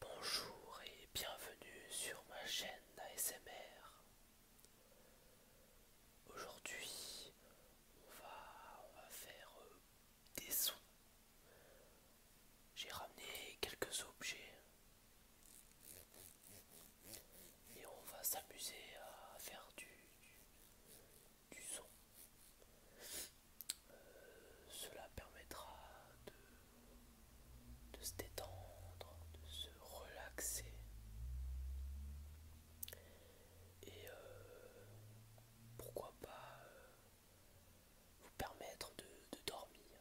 Bonjour et bienvenue sur ma chaîne ASMR. Aujourd'hui, on va, faire euh, des sons. J'ai ramené quelques objets et on va s'amuser à faire du son. Euh, cela permettra de, se détendre, de se relaxer et euh, pourquoi pas euh, vous permettre de, dormir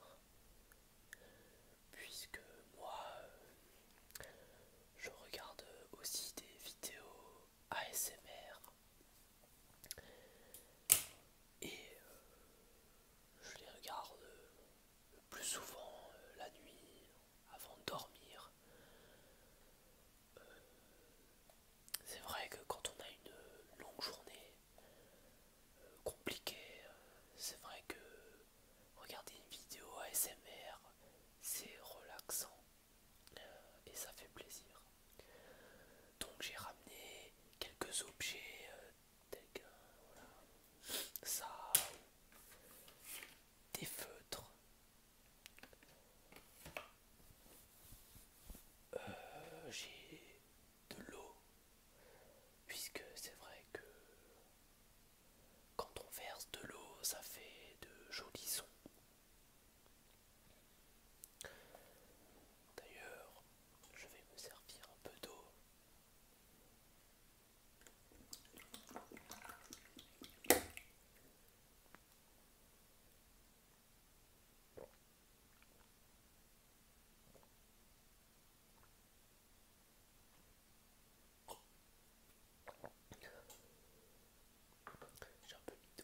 puisque moi je regarde aussi des vidéos ASMR. Et euh, je les regarde euh, le plus souvent euh, la nuit, avant de dormir. C'est vrai que quand on a une longue journée compliquée, c'est vrai que regarder une vidéo ASMR, c'est relaxant et ça fait plaisir. Donc j'ai ramené quelques objets euh, tel ça, des feutres, euh, j'ai de l'eau, puisque c'est vrai que quand on verse de l'eau, ça fait de jolis sons. D'ailleurs, je vais me servir un peu d'eau. J'ai un peu mis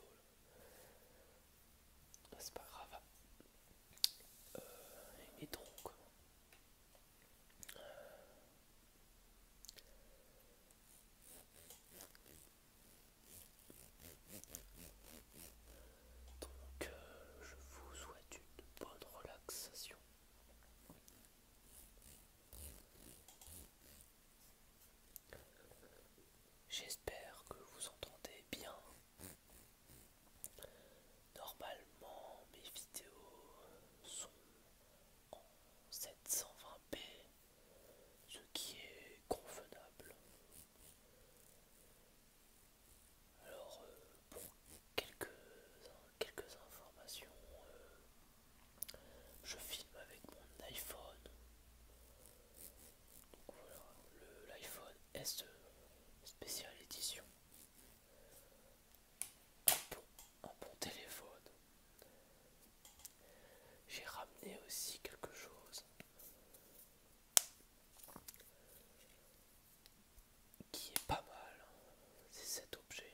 ah, C'est pas grave. Euh, et donc. donc, euh, je vous souhaite une bonne relaxation. J'espère que vous entendez bien. Normalement, mes vidéos sont en 720p, ce qui est convenable. Alors, pour euh, quelques, quelques informations, euh, je filme avec mon iPhone. Donc voilà, l'iPhone SE spécial édition. Un un bon téléphone. J'ai ramené aussi quelque chose qui est pas mal. Hein. C'est cet objet.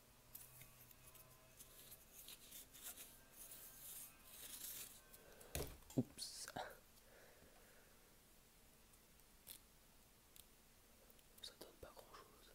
Oups. Ça donne pas grand chose.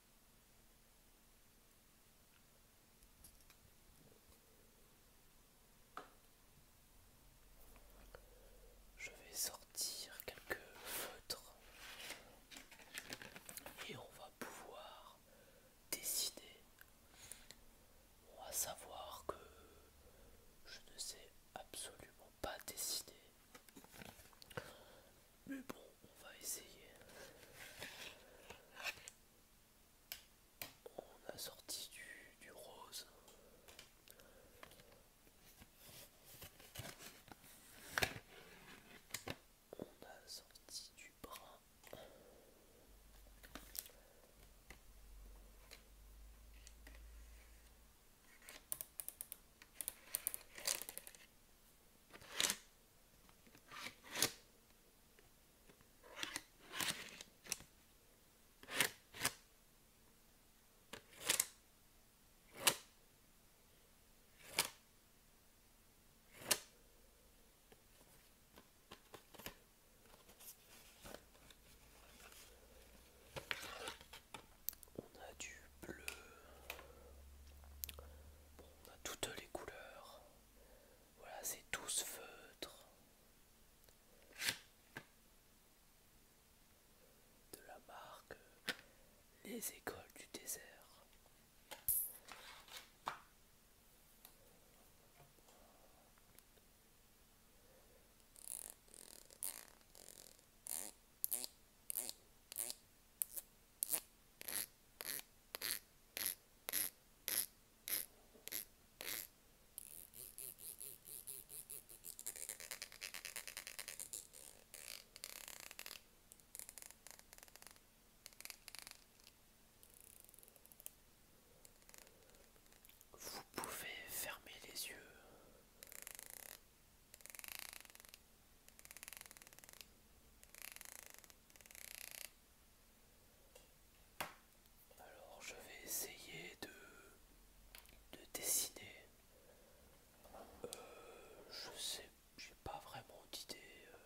Je vais sortir quelques feutres et on va pouvoir décider. On savoir que je ne sais absolument pas décider. Mais bon, on va essayer on a sorti du, rose. On a sorti du bras. On a du bleu. on a toutes les couleurs. Voilà, c'est tous feutres. De la marque Les Écoles du Désert. Vous pouvez fermer les yeux alors je vais essayer de, dessiner. Euh, je sais, j'ai pas vraiment d'idée. Euh.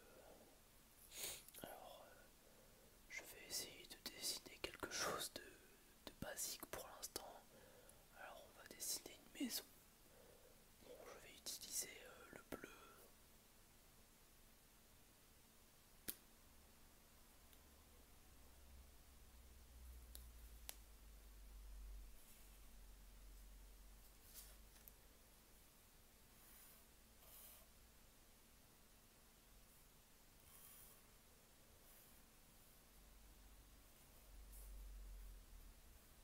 alors euh, je vais essayer de dessiner quelque chose de, de basique pour l'instant. Alors on va dessiner une maison. Bon, je vais utiliser euh, le bleu.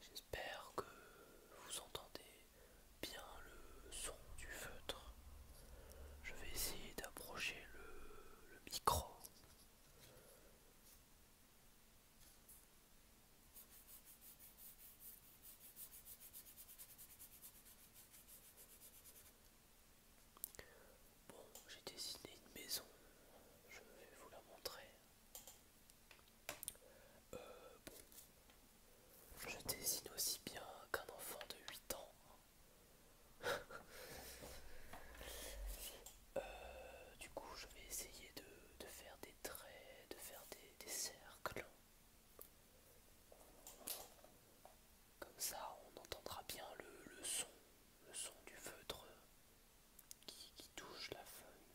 J'espère que vous entendez bien le son du feutre. Je vais essayer d'approcher le, micro. Bon, j'ai dessiné une maison, je vais vous la montrer. Euh, je dessine aussi bien qu'un enfant de 8 ans. Euh, du coup, je vais essayer de, faire des traits, de faire des, cercles. Comme ça, on entendra bien le, le son, le son du feutre qui, qui touche la feuille.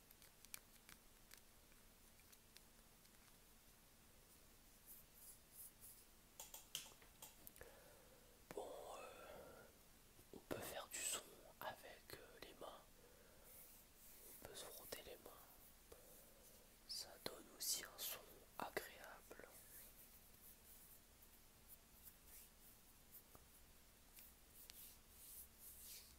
Bon, euh, on peut faire du son avec euh, les mains, on peut se frotter les mains, ça donne aussi un son agréable.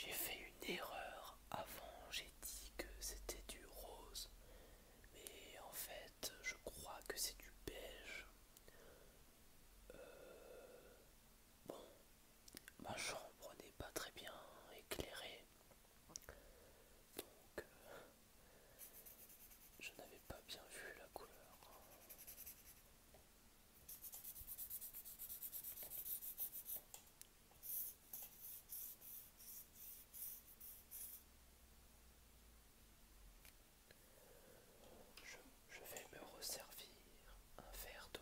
J'ai fait une erreur avant, j'ai dit que c'était du rose, mais en fait je crois que c'est du beige. Euh, bon, ma chambre n'est pas très bien éclairée, donc euh, je n'avais pas bien vu la couleur. Je, vais me resservir un verre d'eau.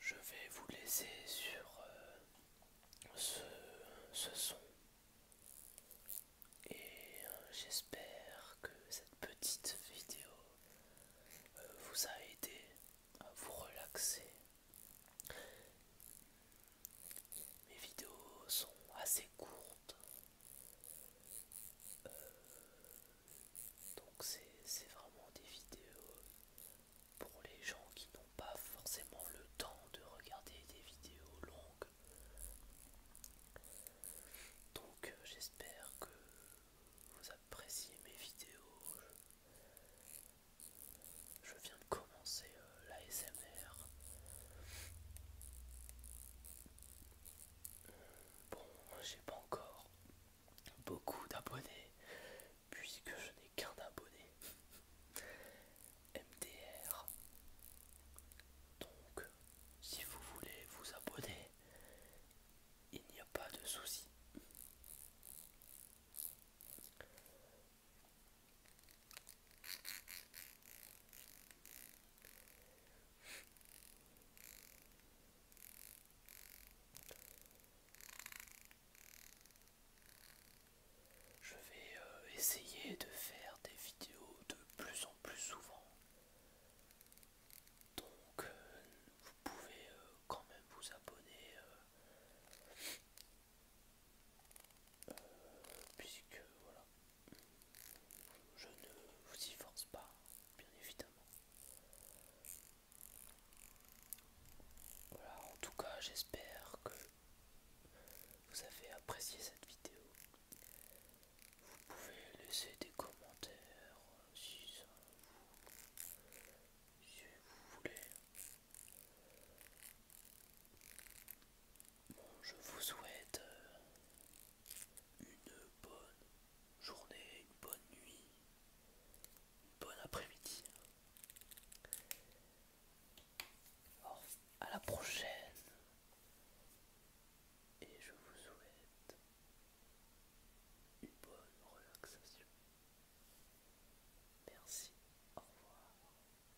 Je vais vous laisser sur euh, ce, son et euh, j'espère que cette petite vidéo euh, vous a aidé à vous relaxer. Mes vidéos sont assez courtes, donc c'est vraiment des vidéos pour les gens qui n'ont pas forcément le temps de regarder des vidéos longues. Donc euh, j'espère que vous appréciez mes vidéos. Je, viens de commencer euh, l'ASMR. Bon, j'ai pas encore beaucoup d'abonnés puisque je n'ai qu'un abonné. MDR. Donc, si vous voulez vous abonner, il n'y a pas de souci. Je vais euh, essayer de faire des vidéos de plus en plus souvent. Donc euh, vous pouvez euh, quand même vous abonner euh, puisque voilà, je ne vous y force pas, bien évidemment. Voilà, en tout cas, j'espère que vous avez apprécié cette vidéo. Vous pouvez laisser des commentaires euh, si ça si vous voulez. Bon, je vous souhaite euh, une bonne journée, une bonne nuit, une bonne après-midi. Alors, à la prochaine. Et je vous souhaite une bonne relaxation. Merci. Au revoir.